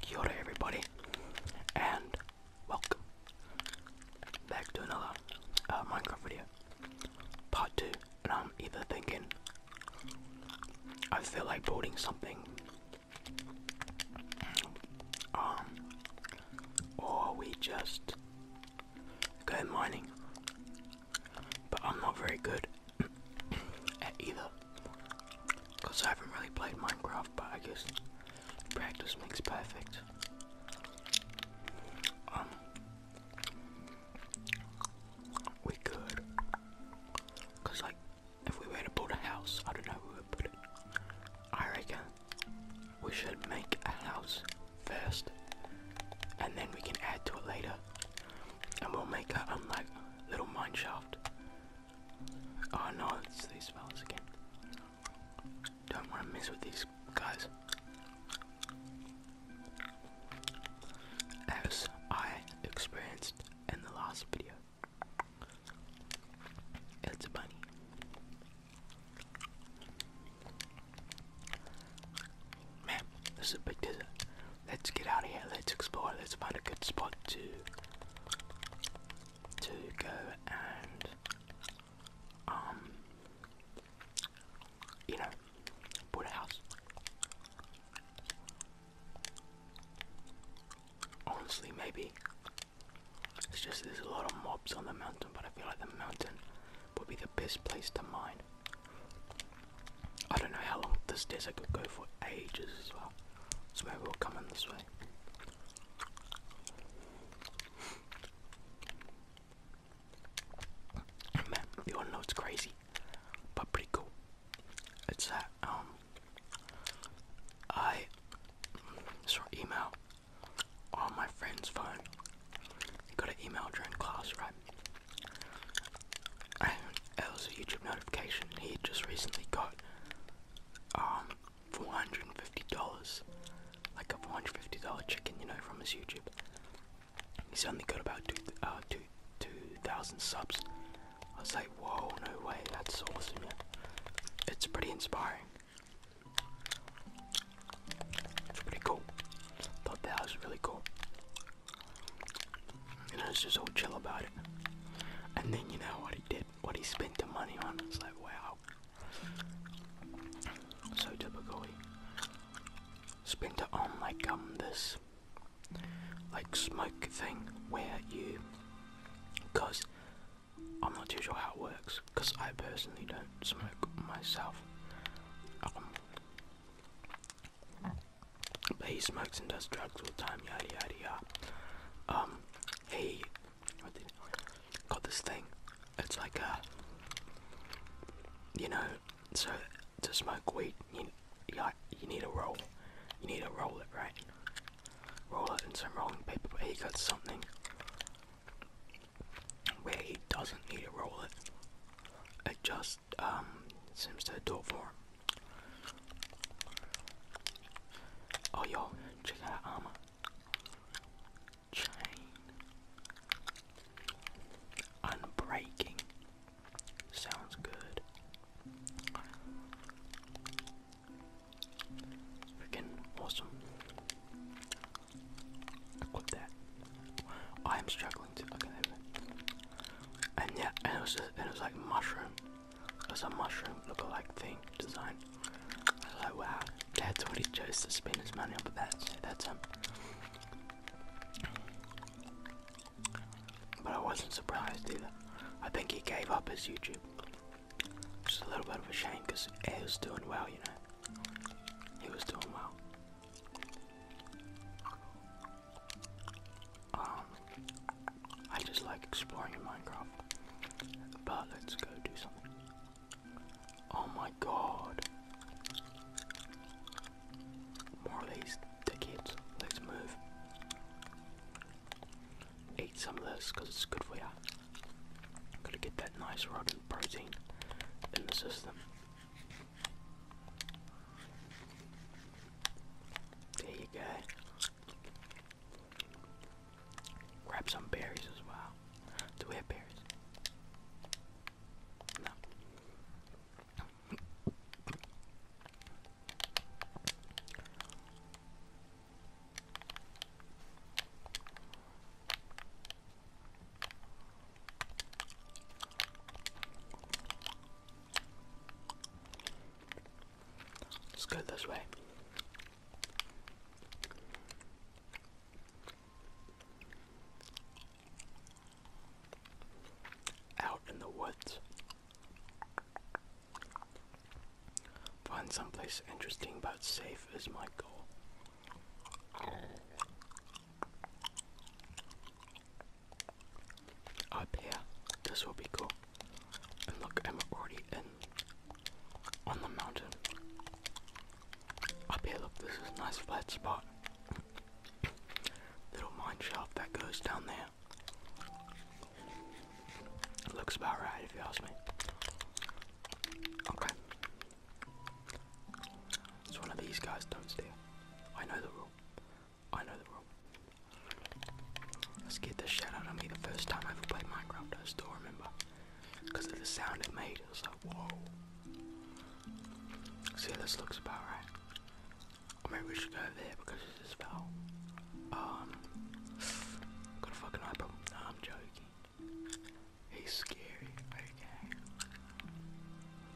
Kia ora everybody, and welcome back to another uh, Minecraft video, part 2, and I'm either thinking, I feel like building something, um, or we just go mining, but I'm not very good at either. Because I haven't really played Minecraft, but I guess practice makes perfect. Um, we could, because like, if we were to build a house, I don't know I reckon we should make a house first, and then we can add to it later and we'll make a um, like, little mine shaft. Oh no, it's these fellas again. Don't want to mess with these guys. As I experienced in the last video, it's a bunny man, this a big desert. Let's get out of here. Let's explore. Let's find a good spot to to go and um you know build a house. Honestly, maybe it's just there's a lot of mobs on the mountain, but I feel like the mountain would be the best place to mine. I don't know how long this desert could go for ages as well. So maybe we'll come in this way. you want know it's crazy, but pretty cool. It's that um, I saw email on my friend's phone. He got an email during class, right? time. And it was a YouTube notification. He just recently got um four hundred and fifty dollars, like a four hundred fifty dollar chicken, you know, from his YouTube. He's only got about two uh two two thousand subs. I was like, whoa, no way, that's awesome. It's pretty inspiring. It's pretty cool. Thought that was really cool. And I was just all chill about it. And then you know what he did, what he spent the money on. It's like wow, so typically, He spent it on like um this, like smoke thing where you, cause I'm not too sure how it works, cause I personally don't smoke myself. Um, but he smokes and does drugs all the time, yada yada yada. Um, he got this thing. It's like a, you know, so to smoke weed, you you need a roll. You need to roll it, right? Roll it in some rolling paper. But he got something where he doesn't need to roll it. It just um, seems to do it for Oh yo, check out armor. Chain. Unbreaking. Sounds good. Freaking awesome. Equip that. Oh, I am struggling to. Okay, there and yeah, and it was and it was like mushroom. It was a mushroom look-alike thing design. I was like, wow, that's what he chose to spend his money on. But that's that's him. But I wasn't surprised either. I think he gave up his YouTube. Just a little bit of a shame because he was doing well, you know. He was doing well. Um, I just like exploring Minecraft. But let's go do something. Oh my god. More of these decades. Let's move. Eat some of this because it's good for you. Gotta get that nice rodent protein in the system. There you go. Grab some berries as well. Do we have berries? No. Let's go this way. Out in the woods. Find someplace interesting but safe is my goal up here. This will be cool. And look, I'm already in on the mountain. Up here, look, this is a nice flat spot. Little mine shaft that goes down there. looks about right if you ask me. Okay. It's one of these guys, don't steal. I know the rule. I know the rule. I scared the shit out of me the first time I ever played Minecraft, I still remember. Because of the sound it made, it was like, whoa. See, how this looks about right. maybe we should go there because it's a Um, got a fucking eye problem. I'm joking. He's scary.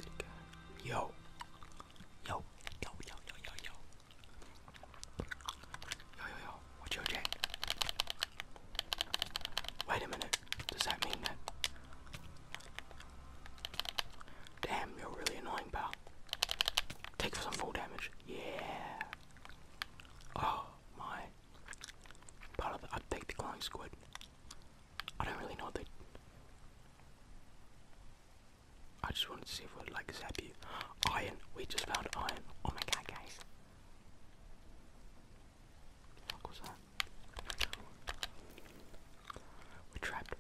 Okay. Yo, Yo, yo, yo, yo, yo, yo. Yo, yo, yo, what's your check? Wait a minute, does that mean that? Damn, you're really annoying, pal. Take some full damage. Yeah. Oh, my. Part of the update squid. I don't really know the. I just wanted to see if we'd like you. Iron. We just found iron. Oh my god, guys. The was that? We're trapped.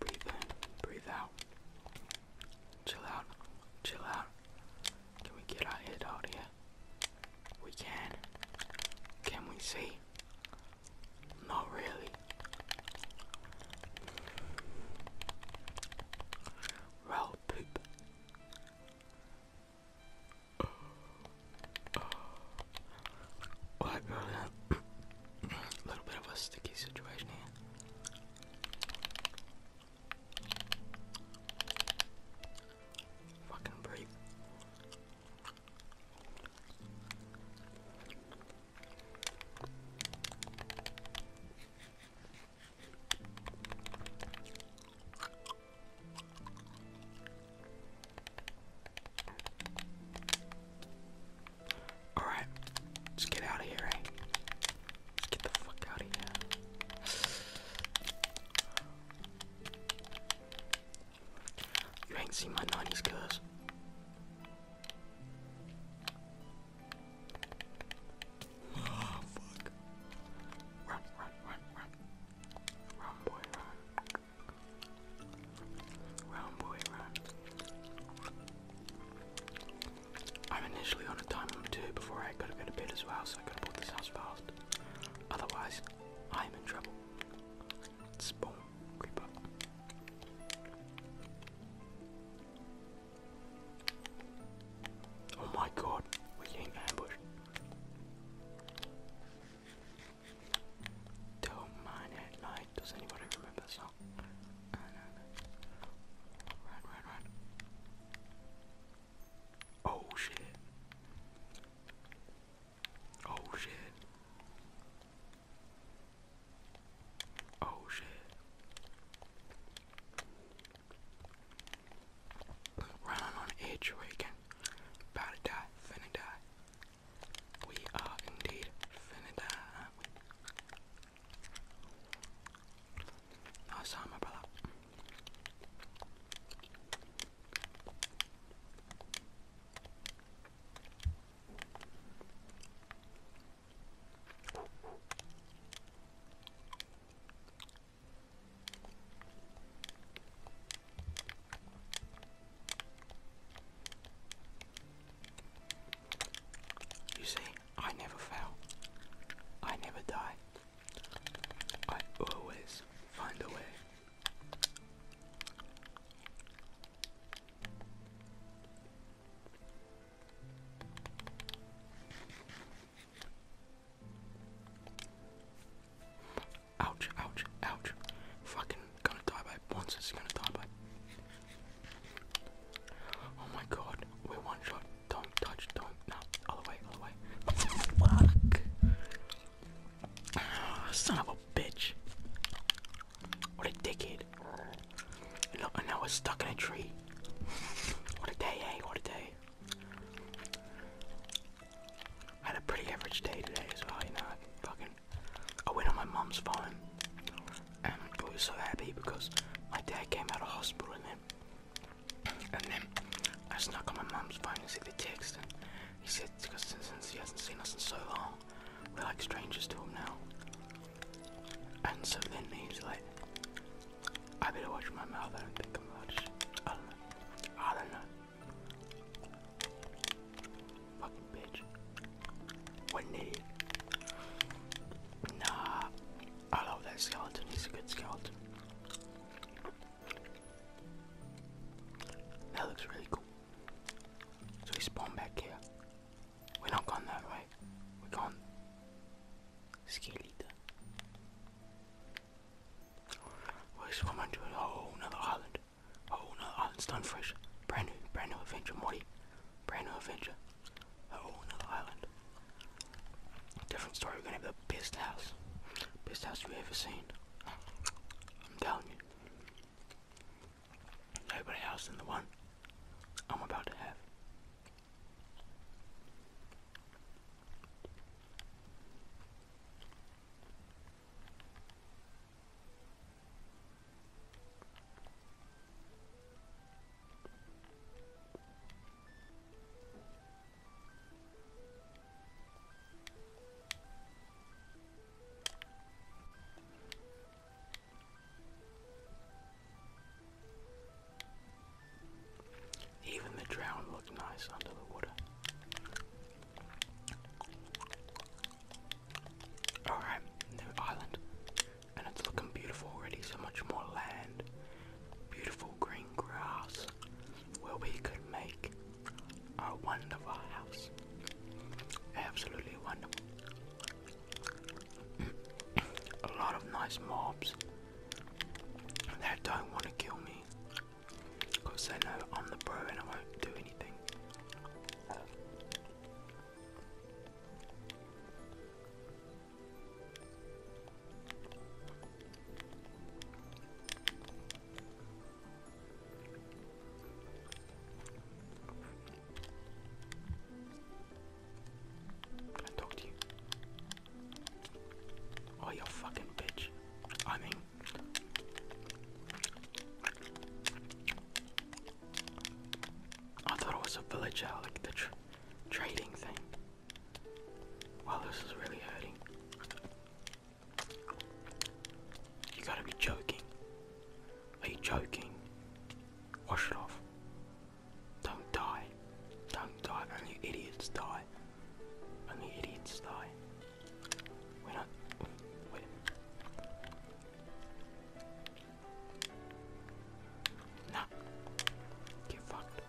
Breathe in, breathe out. Chill out, chill out. Can we get our head out here? We can. Can we see? Not really. Well, poop. Alright, we a little bit of a sticky situation here. Fucking brave. All right, let's get out of here. Eh? get the fuck out of here. You ain't seen my 90s curse. I'm initially on a time limit too before I gotta go to bed as well, so I gotta this house fast. Otherwise, I'm in trouble. Boom, creep Oh my god, we're getting Don't mind at night. Does anybody remember that song? Run, run, run. Oh shit. Oh shit. Oh shit. Running on the edge where you can about to die, finna die. We are indeed finna die, aren't we? No, sorry, my brother. You see, I never fail. I never die. I always find a way. Ouch, ouch, ouch. Fucking gonna die by once it's gonna die by Oh my god, we're one shot. Don't touch, don't no, other way, other way. Fuck Ah, son of a bitch. What a dickhead. And now, we're stuck in a tree. What a day, eh? What a day. I had a pretty average day today as well, you know. I fucking. I went on my mom's phone. And I was so happy because my dad came out of hospital and then and then I snuck on my mum's phone and see the text, and he said, because since he hasn't seen us in so long, we're like strangers to him now. And so then he's like, I better watch my mouth, I don't think I'm allowed I don't know. Fucking bitch. What need? Nah. I love that skeleton, he's a good skeleton. That looks really cool. So we spawn back here. We're not going that way. We're going Skeleta. We're swimming to a whole other island. A whole nother island, fresh, Brand new, brand new adventure, Morty. Brand new adventure. whole nother island. Different story. We're gonna have the best house, best house you ever seen. I'm telling you. Nobody else than the one I'm about to have. Even the drown looked nice under the water. Alright, new island. And it's looking beautiful already, so much more land. Beautiful green grass where we could make a wonderful house. Absolutely wonderful. a lot of nice mobs that don't want to kill me because they know I'm the pro and I won't do anything. Can I talk to you? Oh, you fucking bitch. I mean. I thought it was a villager, uh, like the trading thing. Wow, this is really hurting. You gotta be joking. Are you joking? Wash it off. Don't die. Don't die. Only idiots die. Only idiots die. we Wait. Nah. Get fucked.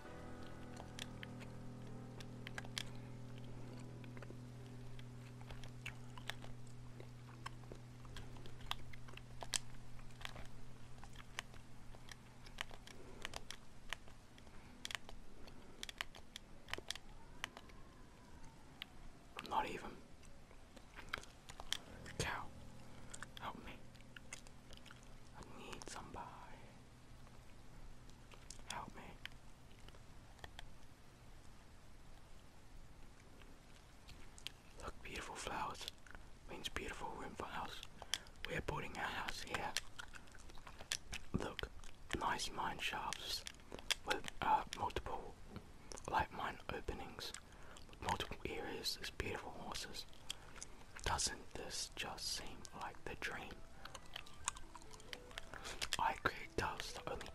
Not even. Cow, help me. I need somebody. Help me. Look, beautiful flowers means beautiful room for house. We're building a house here. Look, nice mine shafts with uh, multiple like mine openings, with multiple areas. There's beautiful horses. Doesn't this just seem like the dream? I create doves that only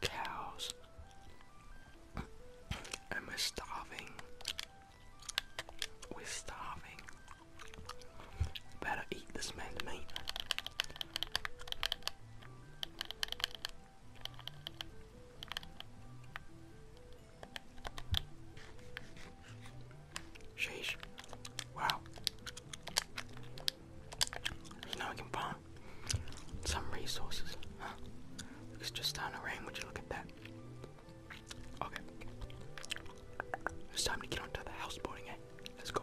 cows. and we starving. We're starving. Better eat this man's meat. Sheesh. Wow. now we can farm some resources. It's just down to rain, would you look at that? Okay. It's time to get onto the houseboating, eh? Let's go.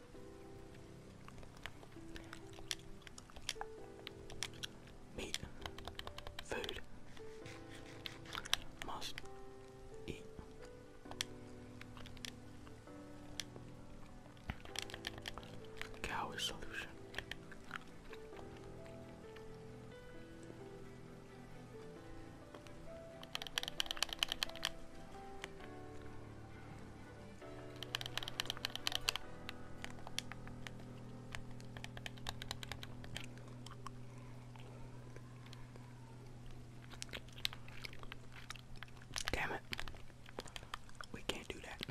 Meat, food, must eat. Cow is solution. Damn it. We can't do that.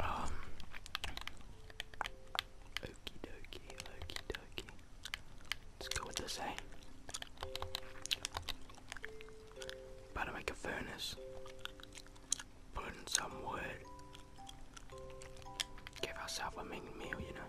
Um Okie dokie, okie dokie. Let's go with this, eh? Better make a furnace. Put in some wood. Give ourselves a mean meal, you know.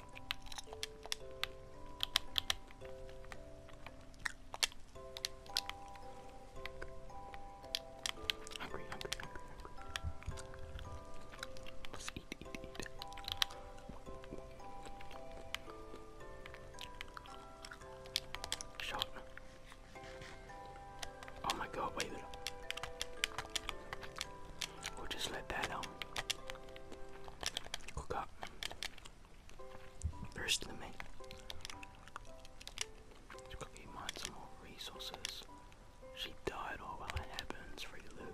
Hungry, hungry, hungry, hungry. Let's eat, eat, eat. Shot. Oh my god, wait a minute. We'll just let that um cook up the rest of the some more resources. She died, oh well, it happens. Free loot.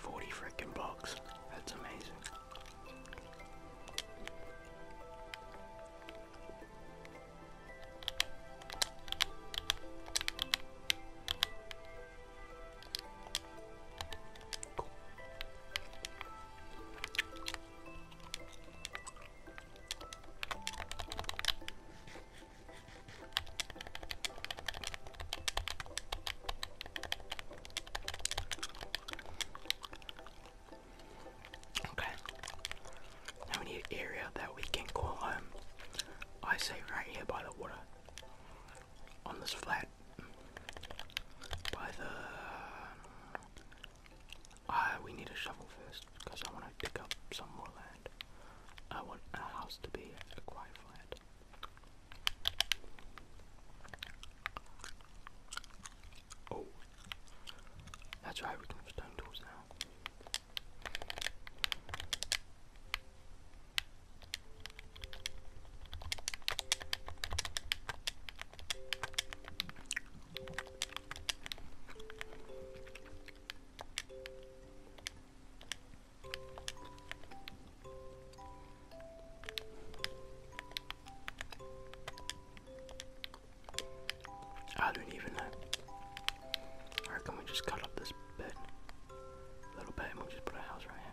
40 freaking bucks. That's amazing. Okay. Now we need an area that we can call home. I say right here by the water. On this flat. By the. Ah, we need a shovel first because I want to dig up some more land. I want a house to be a quiet flat. Oh, that's why we can have stone tools now. I don't even know. I reckon we just cut up this bed a little bit and we'll just put a house right here.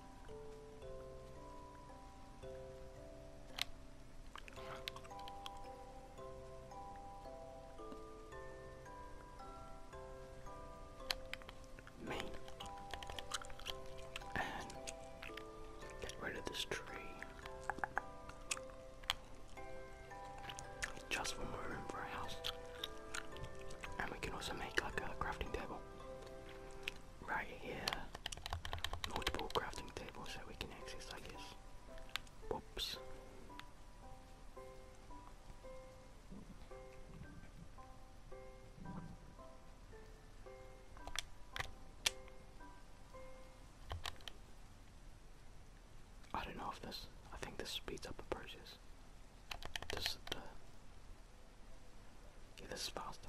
me and get rid of this tree just one more room for a house and we can also make like a crafting table right here. Multiple crafting tables so we can access, I guess. Whoops. I don't know if this, I think this speeds up the process. This this is faster.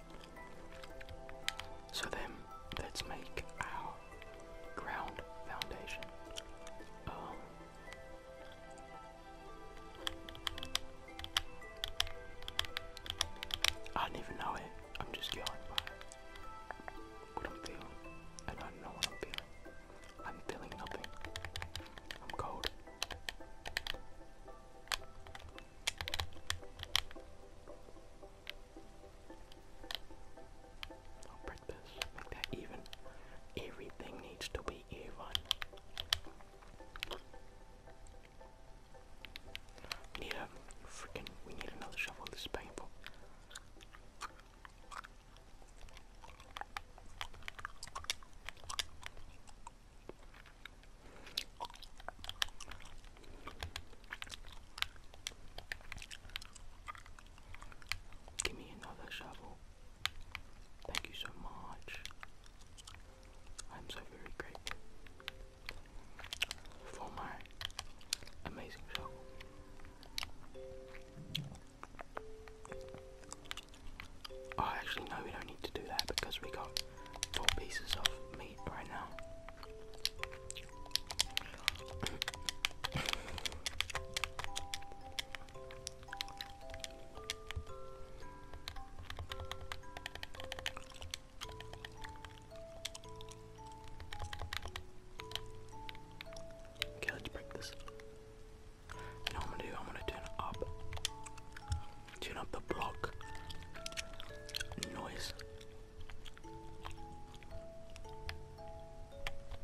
So then let's make our ground foundation. Um, I don't even know it. I'm just going by what I'm feeling. I don't know what I'm feeling. I'm feeling nothing. I'm cold break this, make that even. Everything needs to be even. We need freaking, we need another shovel, this is painful. Give me another shovel. Thank you so much. I'm so very grateful for my amazing shovel. Oh, actually, no, we don't need to do that because we got four pieces of meat right now. Okay, let's break this. You I'm gonna do? I'm gonna turn it up. Turn up the block noise.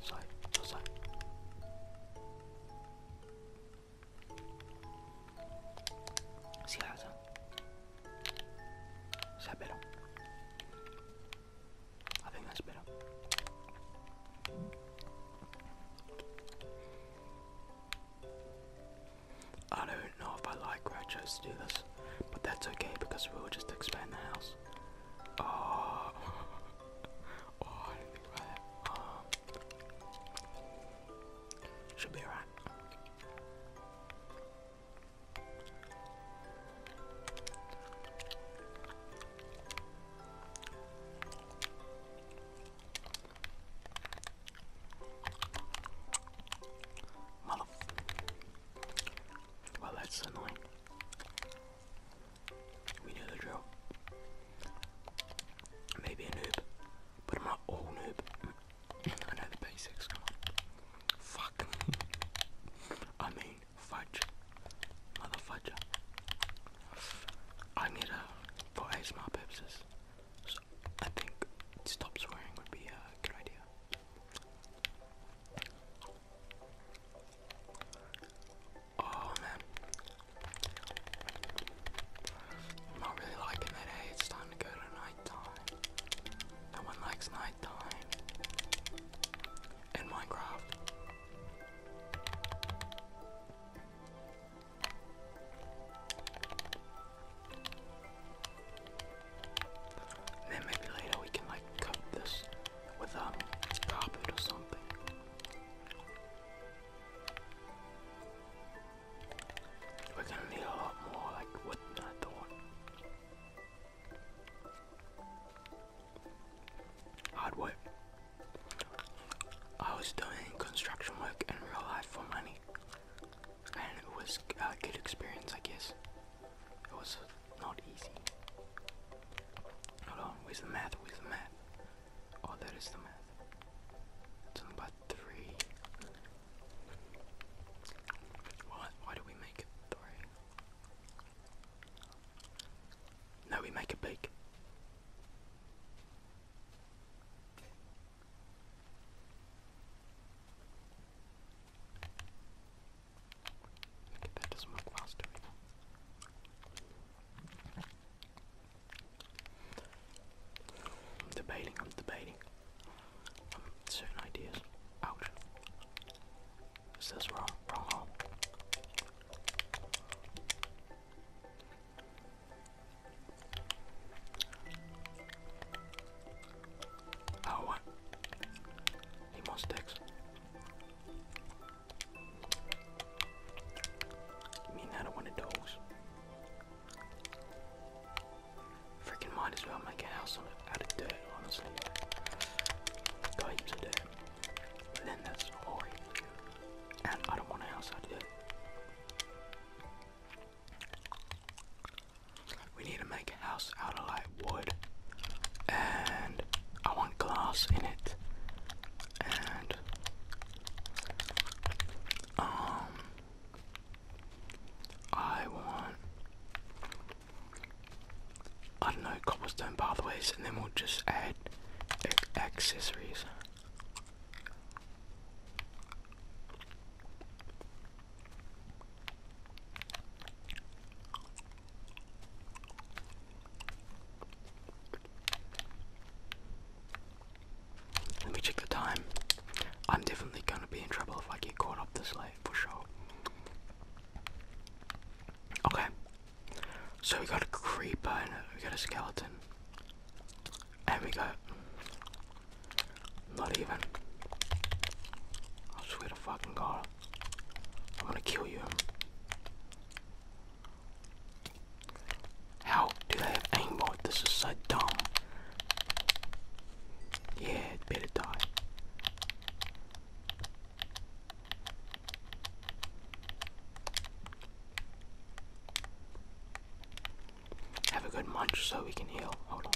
Sorry, sorry. Si casa. Is that better? I think I don't know if I like where I chose to do this, but that's okay because we will just expand the house. Oh, oh I didn't think about that. Oh. Should be alright. Mother. Well, that's annoying. We know the drill. Maybe a noob, but not all noob. I know the basics. Fuck. I mean, fudge. Mother I need a uh, for ASMR purposes. I think stop swearing would be a good idea. Oh man. I'm not really liking that, hey, eh? it's time to go to night No one likes night In Minecraft then maybe later we can like coat this with um carpet or something. We're gonna need a lot more like wood than I thought. Hard work. I was doing construction work in real life for money and it was a good experience, I guess. It was not easy. Hold on, where's the math? Where's the math? Oh, that is the math. It's about three. What? Why do we make three? No, we make it big. Okay, I'm debating, I'm debating. Um, certain ideas. Ouch. Is this wrong? Oh, what? sticks. You mean I don't want a dogs? Freaking might as well make a house out of dirt, honestly. Got heaps dirt. But then that's horrible. And I don't want a house out of dirt. We need to make a house out of light wood, and I want glass in it, and um, I want I don't know cobblestone pathways, and then we'll just add accessories. Let me check the time. I'm definitely gonna be in trouble if I get caught up this late for sure. Okay. So we got a creeper we got a skeleton. There we go. Not even. I swear to fucking God. I'm gonna kill you. How do they have aimbot? This is so dumb. Yeah, it better die have a good munch so we can heal. Hold on.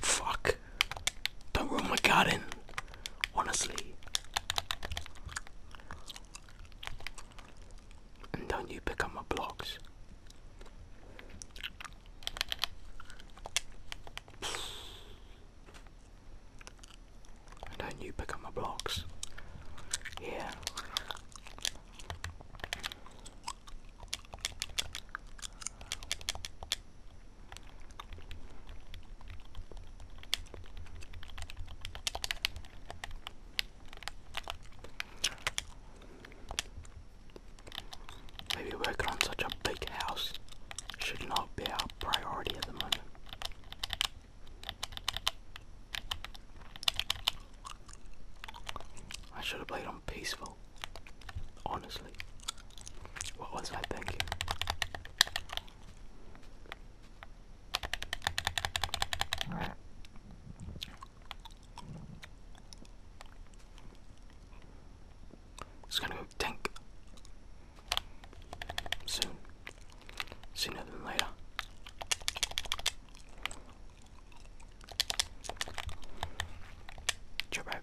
Fuck. Don't ruin my garden. Honestly and not you become a blocks. And then you become a blocks. Yeah. Maybe working on such a big house should not be our priority at the moment. I should have played on peaceful. Honestly. What was I thinking? It's gonna go tank soon, sooner than later. Jump out.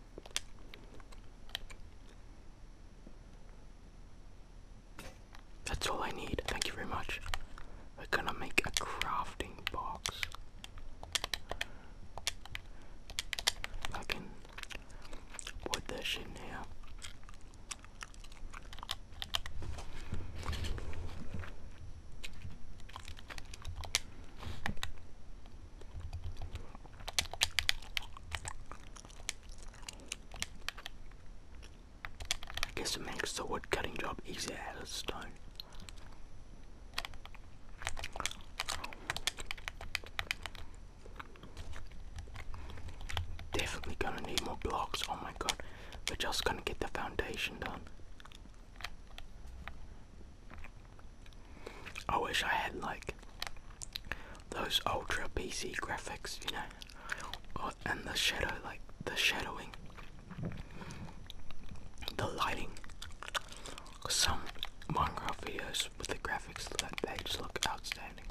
That's all I need. Thank you very much. We're gonna make a crafting box. I can put this in here. I guess it makes the wood cutting job easier out of stone. Definitely gonna need more blocks, oh my god. We're just gonna get the foundation done. I wish I had like those ultra PC graphics, you know, and the shadow, like the shadowing, the lighting. Some Minecraft videos with the graphics like they just look outstanding.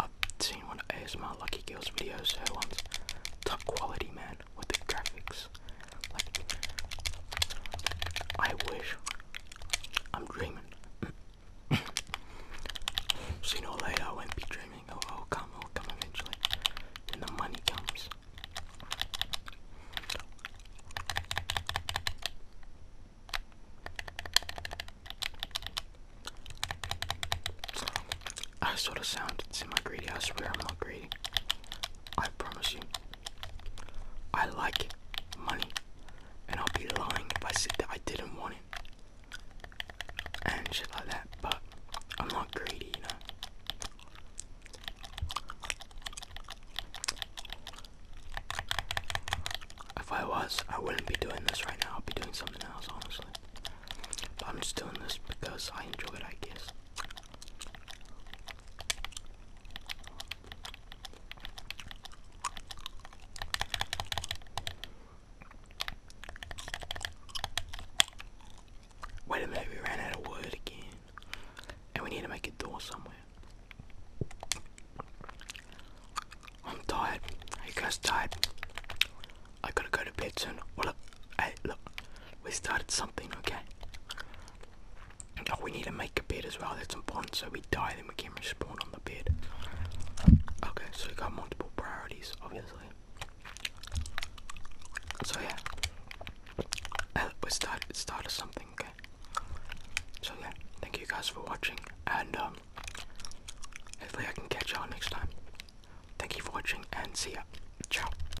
I've seen one of ASMR Lucky Girls videos, her one's top quality man with the graphics I wish. I'm dreaming. so you know later I won't be dreaming. Oh, I'll come, I'll come eventually. When the money comes. I sort of sound semi greedy. I swear I'm not greedy. I promise you, I like money, and I'll be lying if I said that I didn't want it and shit like that, but I'm not greedy, you know. If I was, I wouldn't be doing this right now. I'd be doing something else, honestly. I'm just doing this because I enjoy it, I guess. Wait a minute, we ran out of wood again. And we need to make a door somewhere. I'm tired. Are you guys tired? I gotta go to bed soon. Well, look, hey, look, we started something, okay? Oh, we need to make a bed as well, that's important, so we die, then we can respawn on the bed. Okay, so we got multiple priorities, obviously. So yeah, uh, we start, started something, okay? So yeah, thank you guys for watching, and um, hopefully I can catch y'all next time. Thank you for watching, and see ya. Ciao.